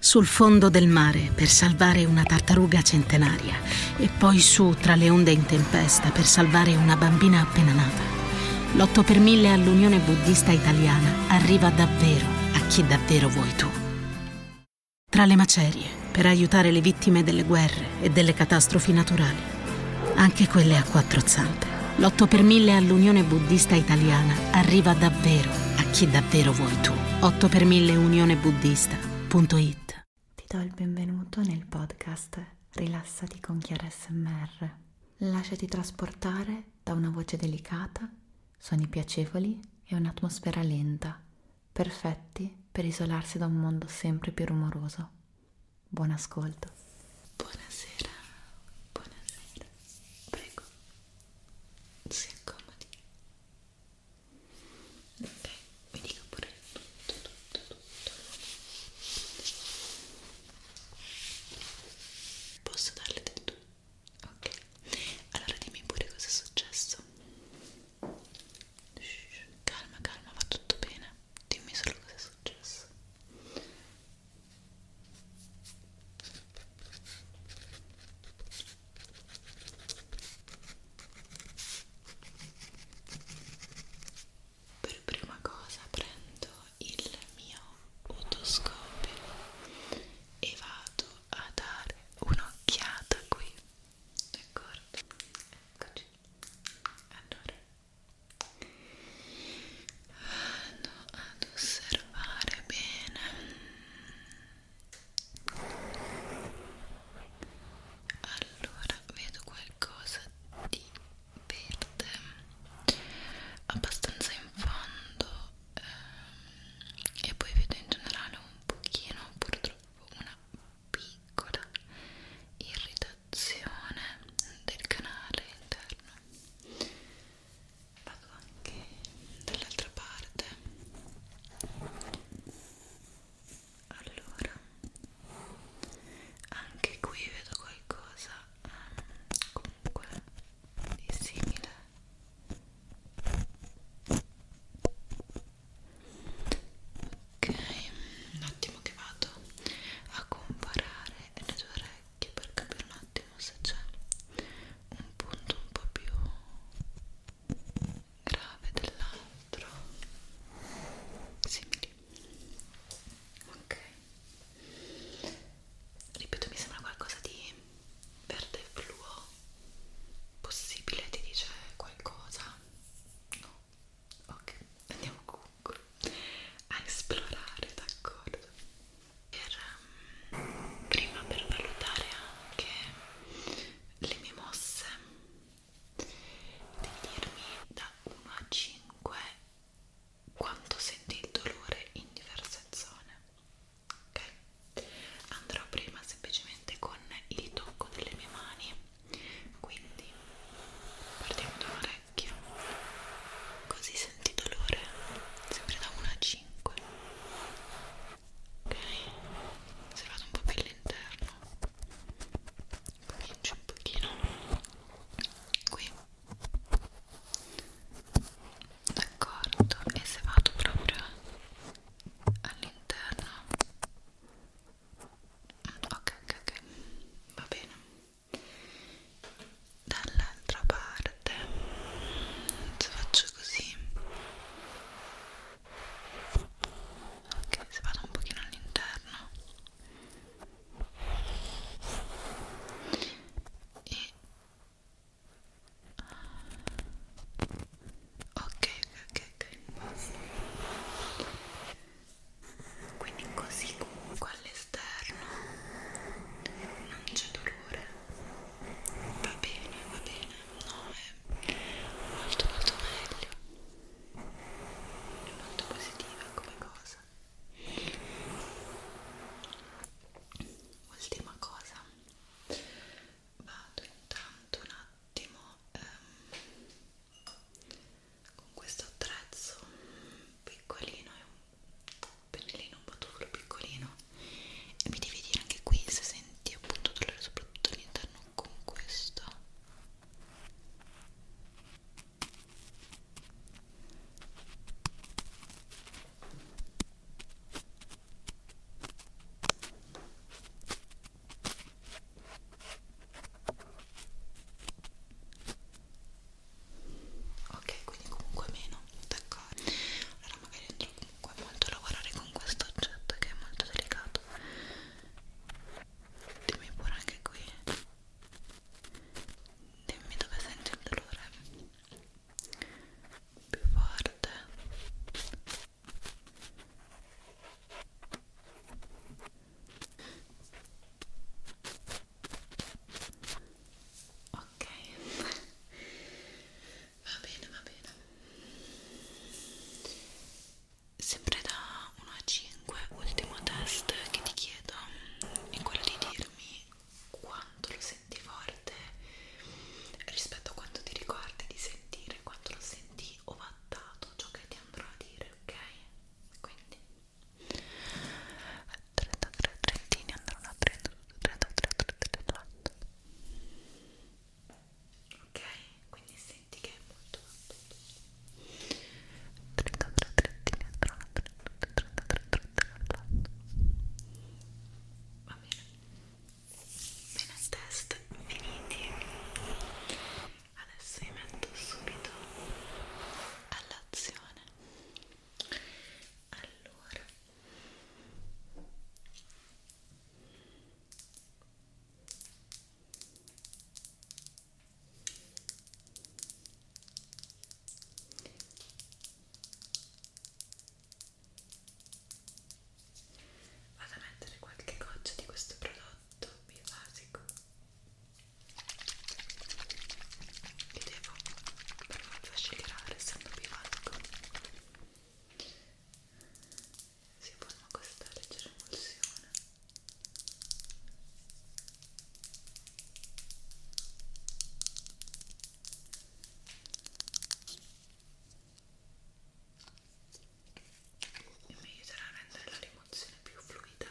Sul fondo del mare per salvare una tartaruga centenaria e poi su tra le onde in tempesta per salvare una bambina appena nata. L'8 per 1000 all'Unione Buddista Italiana arriva davvero a chi davvero vuoi tu. Tra le macerie per aiutare le vittime delle guerre e delle catastrofi naturali, anche quelle a quattro zampe. L'8 per 1000 all'Unione Buddista Italiana arriva davvero a a chi davvero vuoi tu. 8 per 1000 Unione Buddista.it Ti do il benvenuto nel podcast Rilassati con Chiara SMR. Lasciati trasportare da una voce delicata, suoni piacevoli e un'atmosfera lenta, perfetti per isolarsi da un mondo sempre più rumoroso. Buon ascolto. Buonasera. Buonasera. Prego, si accomodi ok mi dica pure tutto tutto tutto posso darle del tu? ok allora dimmi pure cosa è successo Shh, calma calma va tutto bene dimmi solo cosa è successo per prima cosa prendo il mio otoscopio e vado a dare un'occhiata qui, d'accordo? Eccoci. Allora vado ad osservare bene allora vedo qualcosa di verde abbastanza in fondo ehm, e poi vedo in generale un pochino purtroppo una piccola irritazione del canale interno vado anche dall'altra parte allora anche qui vedo qualcosa ehm, comunque di simile ok un attimo che vado a comparare le due orecchie per capire un attimo ottimo se c'è un punto un po' più grave dell'altro simili ok ripeto mi sembra qualcosa di verde fluo possibile ti dice qualcosa no ok andiamo a esplorare d'accordo per, ehm, prima per valutare anche le mie mosse devi dirmi da 1 a 5 quanto senti il dolore in diverse zone ok andrò prima semplicemente con il tocco delle mie mani quindi partiamo da un'orecchia così senti dolore sempre da 1 a 5 5 ok se vado un po' più all'interno comincio un pochino qui d'accordo e se vado proprio all'interno ok ok ok va bene dall'altra parte se faccio così ok se vado un pochino all'interno e ok ok ok basta quindi così comunque all'esterno non c'è dolore va bene, va bene, no, è molto molto meglio, è molto positiva come cosa. Ultima cosa, vado intanto un attimo ehm, con questo attrezzo piccolino e un pennellino un po' duro, piccolino e mi devi dire anche qui se senti appunto dolore soprattutto all'interno con questo Ok, quindi comunque meno, d'accordo toccare allora magari andrò comunque molto a lavorare con questo oggetto che è molto delicato dimmi pure anche qui dimmi dove senti il dolore più forte ok ok va bene va bene sempre da 1 a 5 ultimo test che ti chiedo è quello di dirmi quanto lo senti forte rispetto a quanto ti ricordi di sentire quanto lo senti ovattato ciò che ti andrò a dire ok quindi 33 trentini andranno a 32, 33, 34 ok? quindi senti che è molto alto 33 trentini andranno a 32, 33, 34 va bene bene test finiti adesso vi metto subito all'azione allora vado a mettere qualche goccia di questo prodotto biofasico li devo per forza scegliere essendo bivalco si forma questa leggera emulsione e mi aiuterà a rendere la rimozione più fluida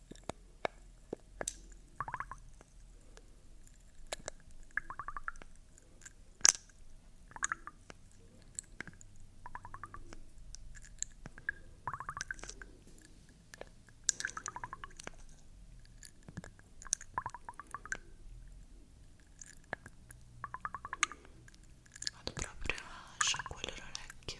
Vado proprio a sciacquare l'orecchio.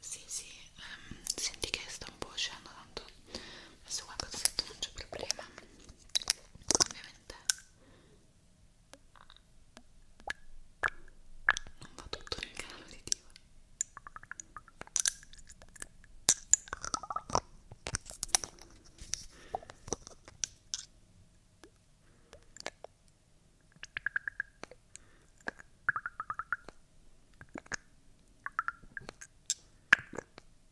Sì, sì, ehm, senti che sta un po' uscendo tanto adesso qualcosa sotto non c'è problema ovviamente non va tutto nel canale uditivo ok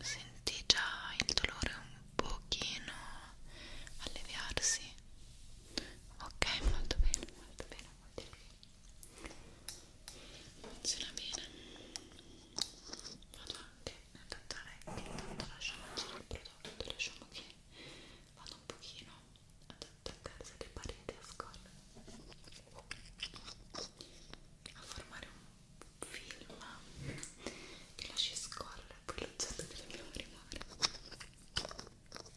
Senti già il dolore un pochino alleviarsi. Ok, molto bene, molto bene, molto bene. Funziona bene vado anche nel Dottorecchi intanto lasciamo girare il prodotto lasciamo che vado un pochino ad attaccarsi alle pareti a scolla a formare un film che lasci scolla e poi l'oggetto che dobbiamo arrivare Ecco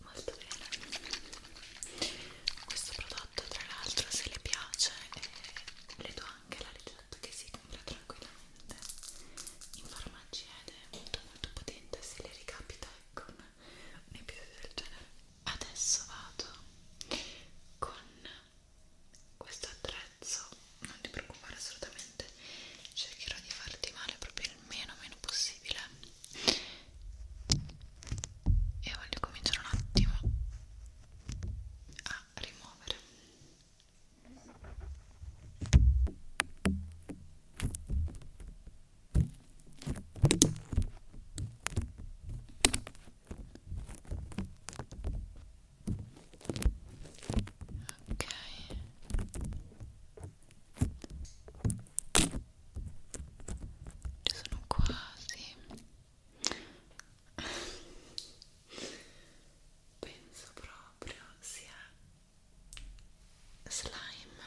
Molto bene. Questo prodotto tra l'altro se le piace eh, le do anche la ricetta che si compra tranquillamente in farmacia ed è molto molto potente se le ricapita ecco un episodio del genere adesso vado con questo attrezzo non ti preoccupare assolutamente cercherò di farti male proprio il meno meno possibile e voglio cominciare un attimo a rimuovere Ok. Ci sono quasi. Penso proprio sia slime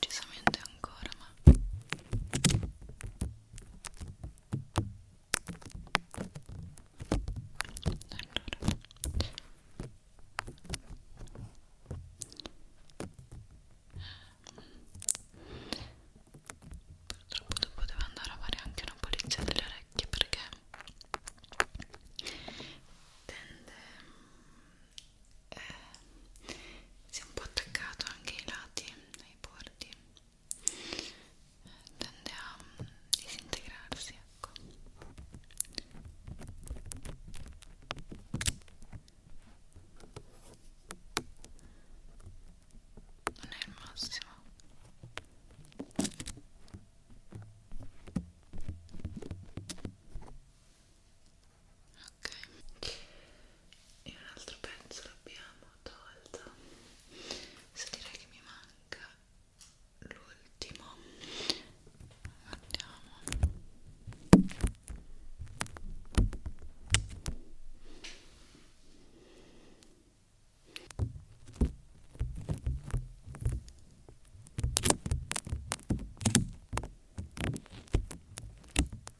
decisamente ancora ma allora purtroppo dopo devo andare a fare anche una pulizia delle orecchie perché tende eh, si è un po' attaccato anche ai lati, ai bordi eh, tende a mm, disintegrarsi ecco non è il massimo ok e un altro pezzo l'abbiamo tolto se direi che mi manca l'ultimo guardiamo ok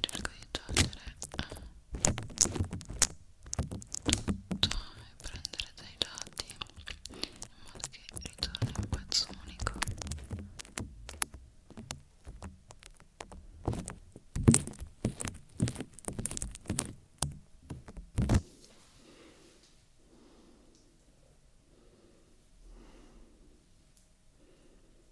cerco di togliere tutto e prendere dai lati in modo che ritorni un pezzo unico ok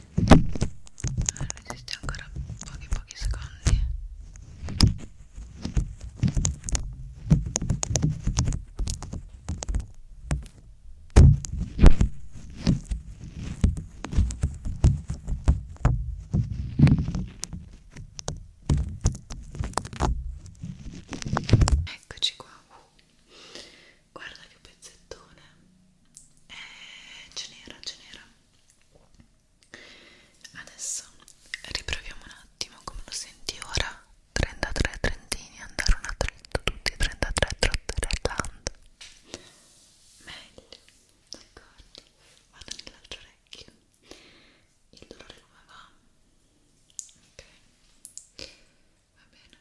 Allora, resiste ancora pochi pochi secondi. Eccoci qua, guarda che pezzettone, eh, ce n'era, ce n'era Adesso riproviamo un attimo come lo senti ora 33 trentini andare una tretta tutti 33 trotterelland meglio d'accordo vado nell'altro orecchio il dolore come va? ok va bene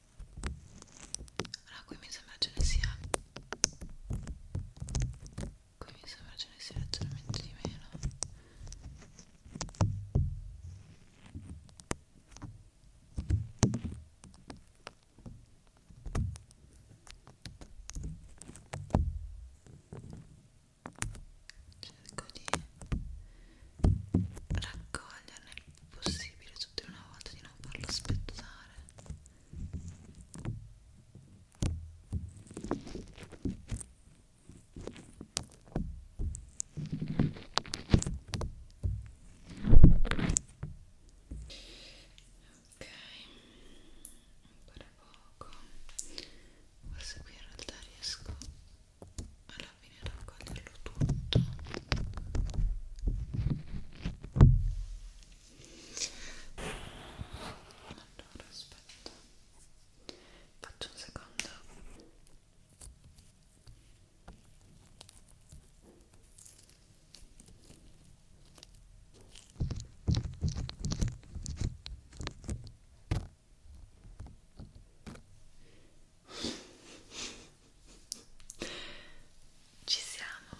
Allora qui mi sembra ce ne sia qui mi sembra ce ne sia leggermente di meno cerco di raccoglierne possibile tutte una volta di non farlo aspettare ok ancora poco forse qui in realtà riesco alla fine raccoglierlo tutto allora aspetta faccio un secondo ok ci siamo.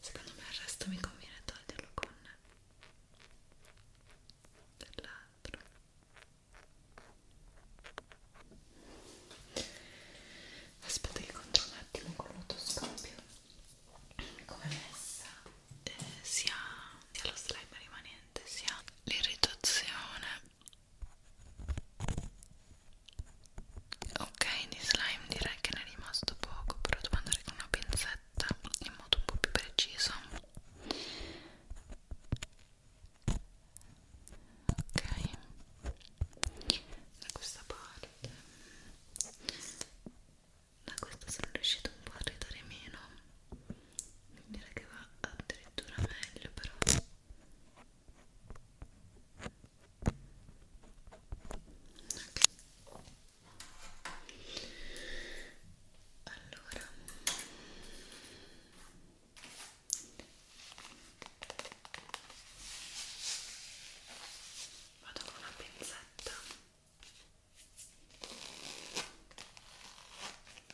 Secondo me il resto mi conviene toglierlo con dell'altro. Aspetta che controllo un attimo con l'autoscopio come messa eh, sia, sia lo slime rimanente sia l'irritazione ok di slime direi che ne è rimasto poco però devo andare con una pinzetta in modo un po' più preciso ok da questa parte da questa sono riuscita un po' a ridare meno direi che va addirittura meglio però okay. allora vado con una pinzetta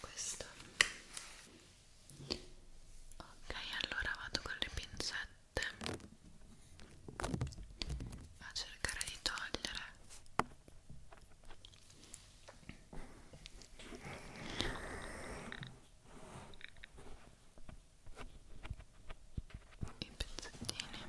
questo ok allora vado con le pinzette a cercare di togliere i pezzettini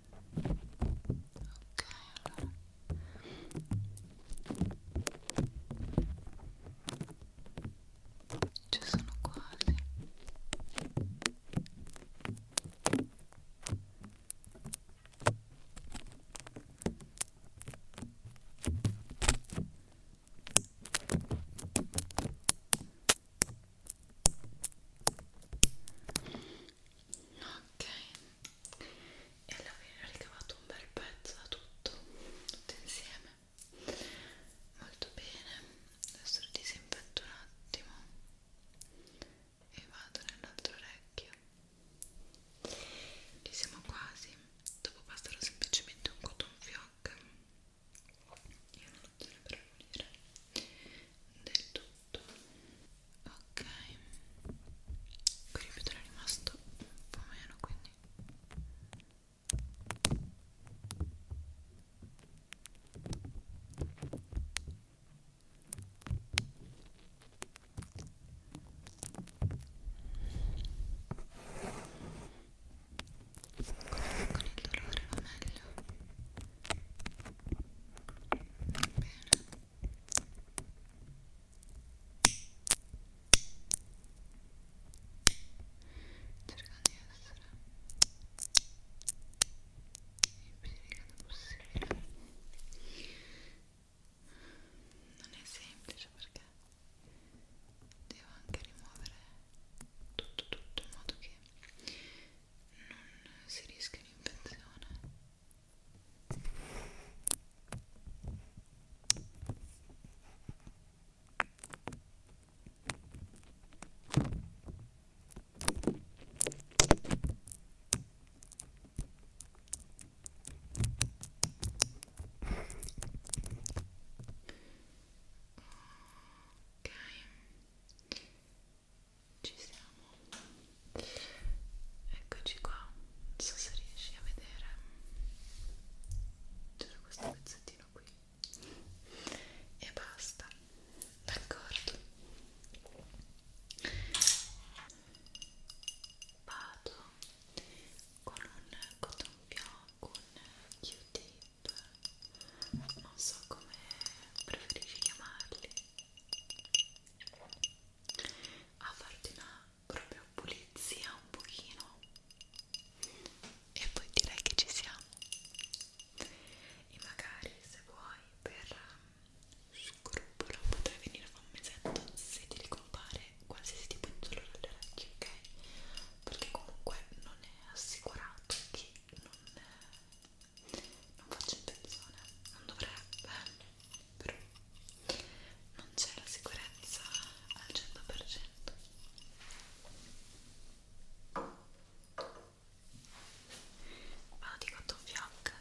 allora ci sono quasi ok e alla fine ho ricavato un bel pezzo da tutto tutto insieme molto bene adesso lo disinfetto un attimo e vado nell'altro orecchio ci siamo quasi dopo passerò semplicemente un cotton fioc io non lo userò per pulire del tutto ok qui ripeto è rimasto un po' meno quindi con, con il dolore va meglio cercando di essere il più delicato possibile non è semplice perché devo anche rimuovere tutto tutto in modo che non si rischia un'infezione ok ci siamo eccoci qua non so se riesci a vedere c'era questo pezzettino qui e basta d'accordo vado con un cotton più un q-tip non so come preferisci chiamarli a farti una proprio pulizia un pochino e poi direi che ci siamo e magari se vuoi per um, scrupolo potrai venire a fa un mesetto se ti ricompare qualsiasi tipo di dolore alle orecchie ok? perché comunque non è assicurato che non non faccio intenzione, non dovrebbe, però non c'è la sicurezza al 100%. Vado di cotton fiocca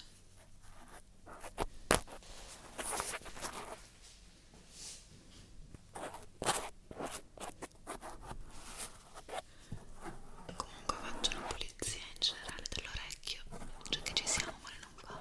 comunque faccio una pulizia in generale dell'orecchio cioè che ci siamo ma non va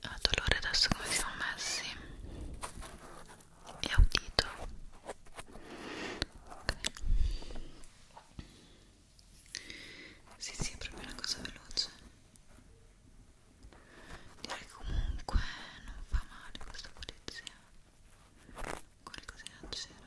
ha dolore adesso come siamo messi e audito okay. Sì, sì, è proprio una cosa veloce. Direi comunque non fa male questa polizia. Qualcosina c'era.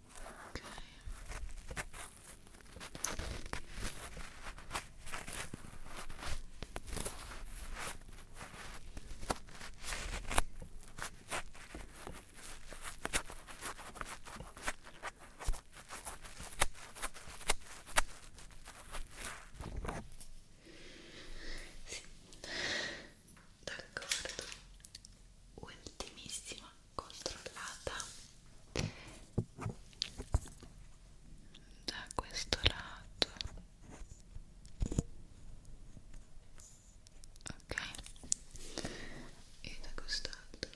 Sì, d'accordo, ultimissima controllata da questo lato ok e da quest'altro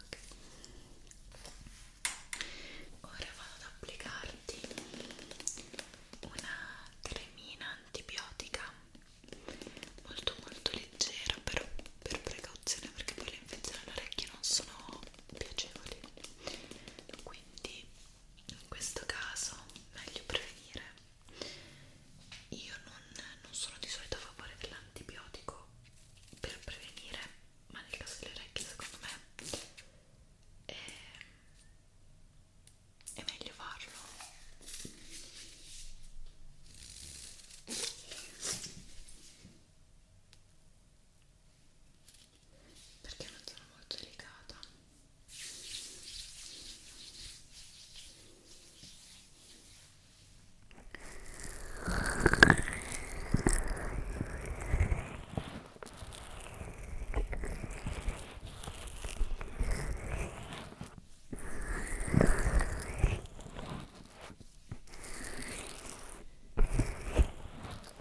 ok ora vado ad applicarti una cremina antibiotica molto molto leggera però per precauzione perché poi le infezioni all'orecchio non sono piacevoli quindi in questo caso meglio prevenire io non, non sono di solito a favore dell'antibiotico per prevenire ma nel caso delle orecchie secondo me è è meglio farlo perché non sono molto delicata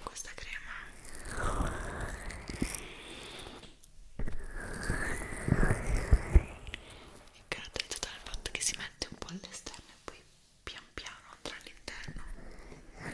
questa crema è caratterizzata dal fatto che si mette un po' all'esterno e poi pian piano andrà all'interno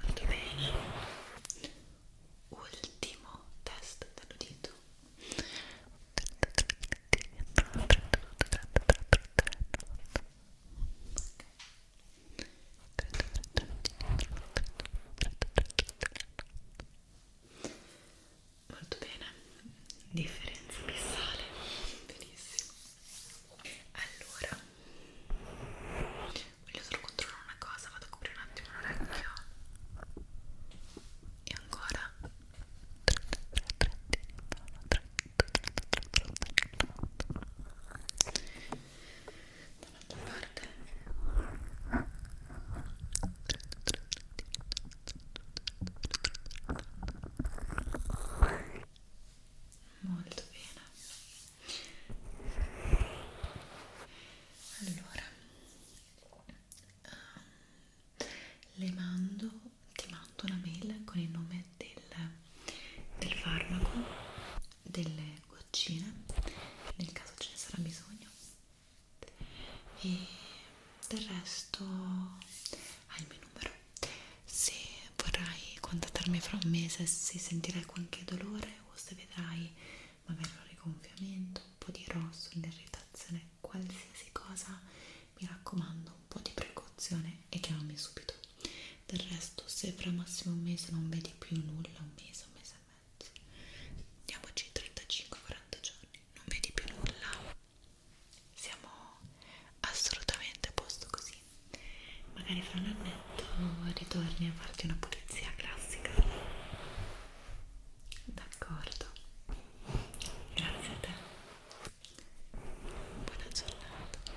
Molto bene. Ultimo test dell'udito. Okay. Molto bene, differenza missale, benissimo. Allora, voglio solo controllare una cosa, vado a coprire un attimo l'orecchio. E ancora dall'altra parte molto bene allora ehm, le mando ti mando una mail con il nome del, del farmaco delle goccine nel caso ce ne sarà bisogno e del resto hai il mio numero se vorrai contattarmi fra un mese se sentirai qualche dolore o se vedrai magari un rigonfiamento un po' di rosso, un'irritazione qualsiasi cosa mi raccomando un po' di precauzione e chiamami subito del resto se fra massimo un mese non vedi più nulla un mese, un mese mese e mezzo diamoci 35-40 giorni non vedi più nulla siamo assolutamente a posto così magari fra un annetto ritorni a farti una pulizia classica d'accordo grazie a te buona giornata